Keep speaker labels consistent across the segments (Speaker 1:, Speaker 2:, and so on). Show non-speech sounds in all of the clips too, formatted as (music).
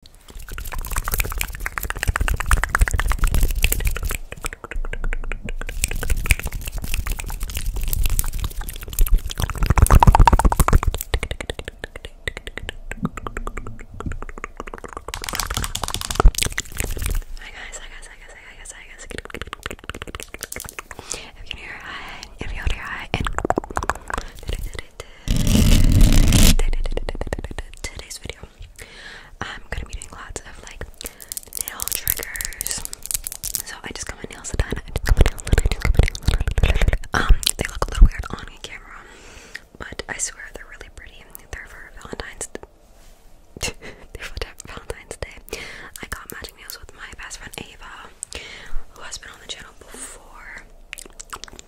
Speaker 1: Hi guys, hi guys, hi guys, hi guys, hi guys. If you hear hi, if you hear hi, and today's video, I'm gonna be doing lots of like nail triggers. So I just got my nails done. Um, they look a little weird on camera, but I swear they're really pretty. They're for Valentine's. (laughs) they're for Valentine's Day. I got matching nails with my best friend Ava, who has been on the channel before.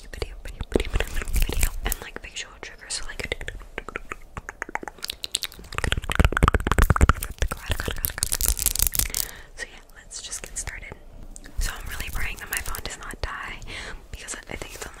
Speaker 1: and like visual triggers, so like. (laughs) So yeah, let's just get started. So I'm really praying that my phone does not die because I think it's on 20%.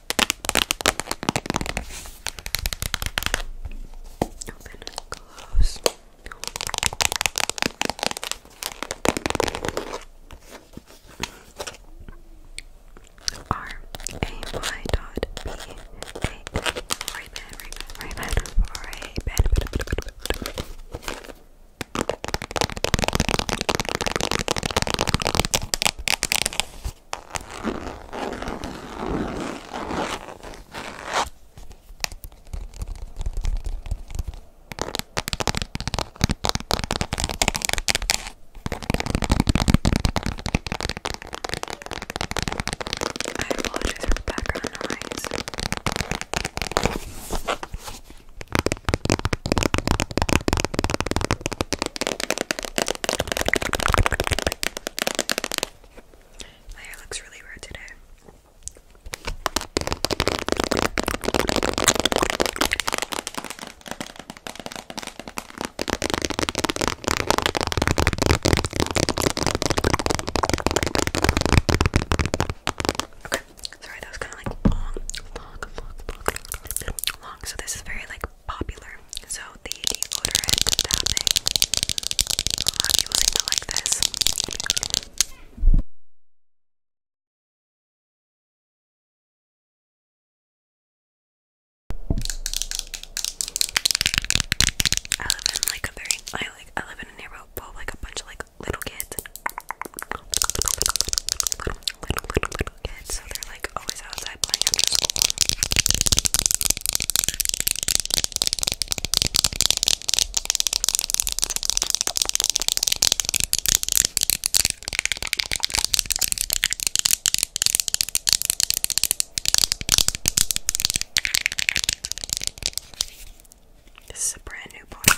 Speaker 1: Open and close. R A Y dot B A right bed, right bed, right bed, right bed apologize for the background noise. My hair looks really weird today. Okay. Sorry, that was kind of like long, So this is very like popular. So the deodorant tapping. like this. I live in like a very I like I live in a neighborhood full like a bunch of like little kids. Little, little, little, kids. So they're like always outside playing after school. This is a brand new bottle.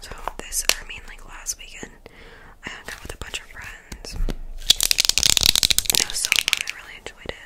Speaker 1: So this, I mean, like last weekend, I hung out with a bunch of friends. it was so fun. I really enjoyed it.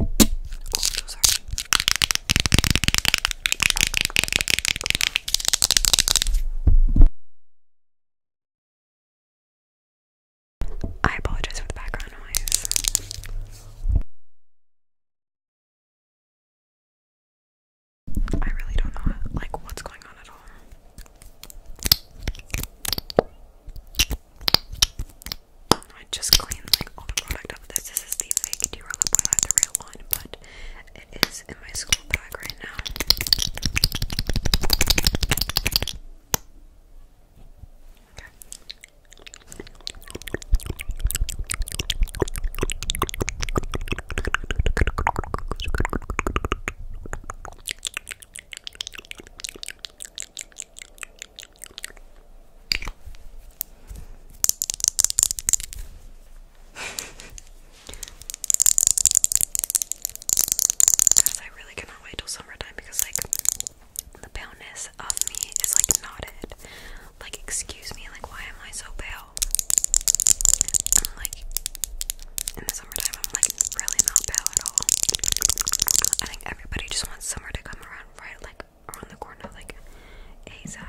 Speaker 1: Oh, I apologize for the background noise. I really don't know like what's going on at all. I just cleaned like all the product up. This this is the fake Dior lip oil, the real one, but it is in my school bag right now. Guys, I really cannot wait till summertime because, like, the paleness of me is like not it. Like, excuse me, like, why am I so pale? i like, in the summertime, I'm like really not pale at all. I think everybody just wants summer to come come right like around the corner like ASAP.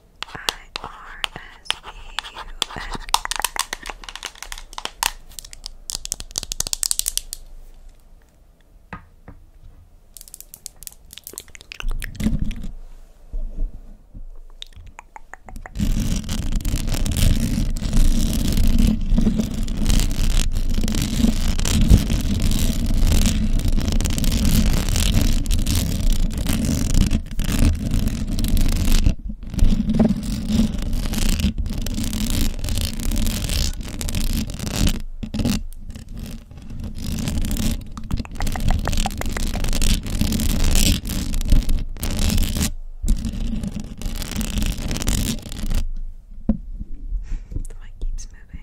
Speaker 1: I-R-S-B-U-N. Thank the mic keeps moving.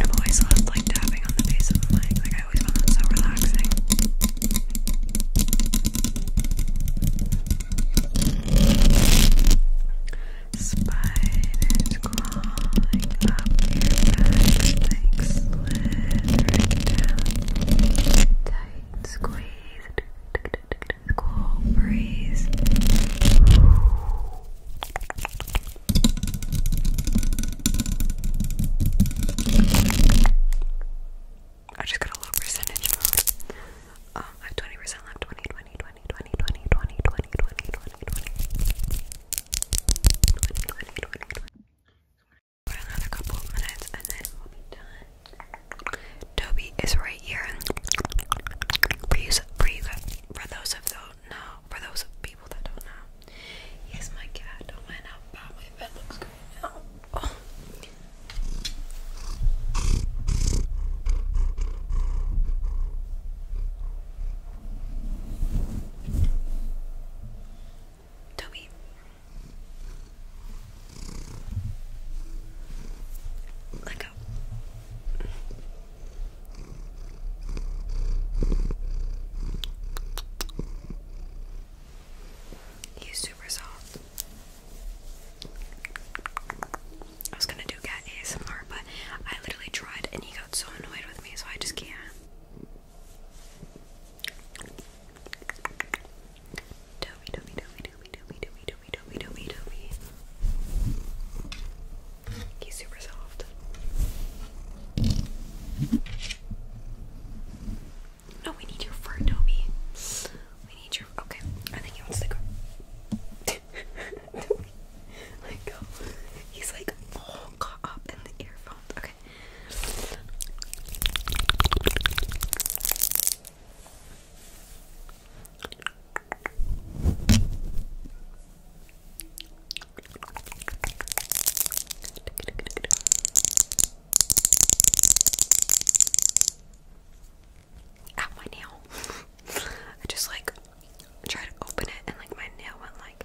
Speaker 1: I've always loved like tapping on the base of the mic. Like I always found that so relaxing. Spiders crawling up your back, like slithering down. Tight squeeze, cool breeze. I just got a little percentage mode. I have 20% left. 20, 20, another couple of minutes and then we'll be done. Toby is right here. For you, for, you, for those of those, for those people that don't know, here's my cat. Oh, and how my bed looks right now. Toby. Let go. He's super soft. I was gonna do cat ASMR, but I literally tried and he got so annoyed with me, so I just can't. Toby, Toby, Toby, Toby, Toby, Toby, Toby, Toby, Toby, Toby. He's super soft. No, we need your fur, Toby. We need your. Okay, I think he wants to go. (laughs) let go. He's like all oh, caught up in the earphones. Okay. Ow, my nail. (laughs) I just like tried to open it and like my nail went like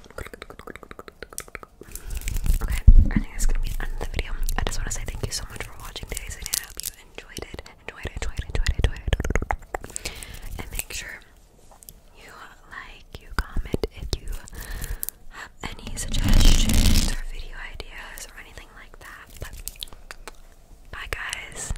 Speaker 1: Okay, I think that's gonna be the end of the video. I just want to say thank you so much for watching today's video. I hope you enjoyed it, enjoyed it, enjoyed it, enjoyed it, enjoyed it. And make sure you like, you comment if you have any suggestions or video ideas or anything like that. But bye, guys.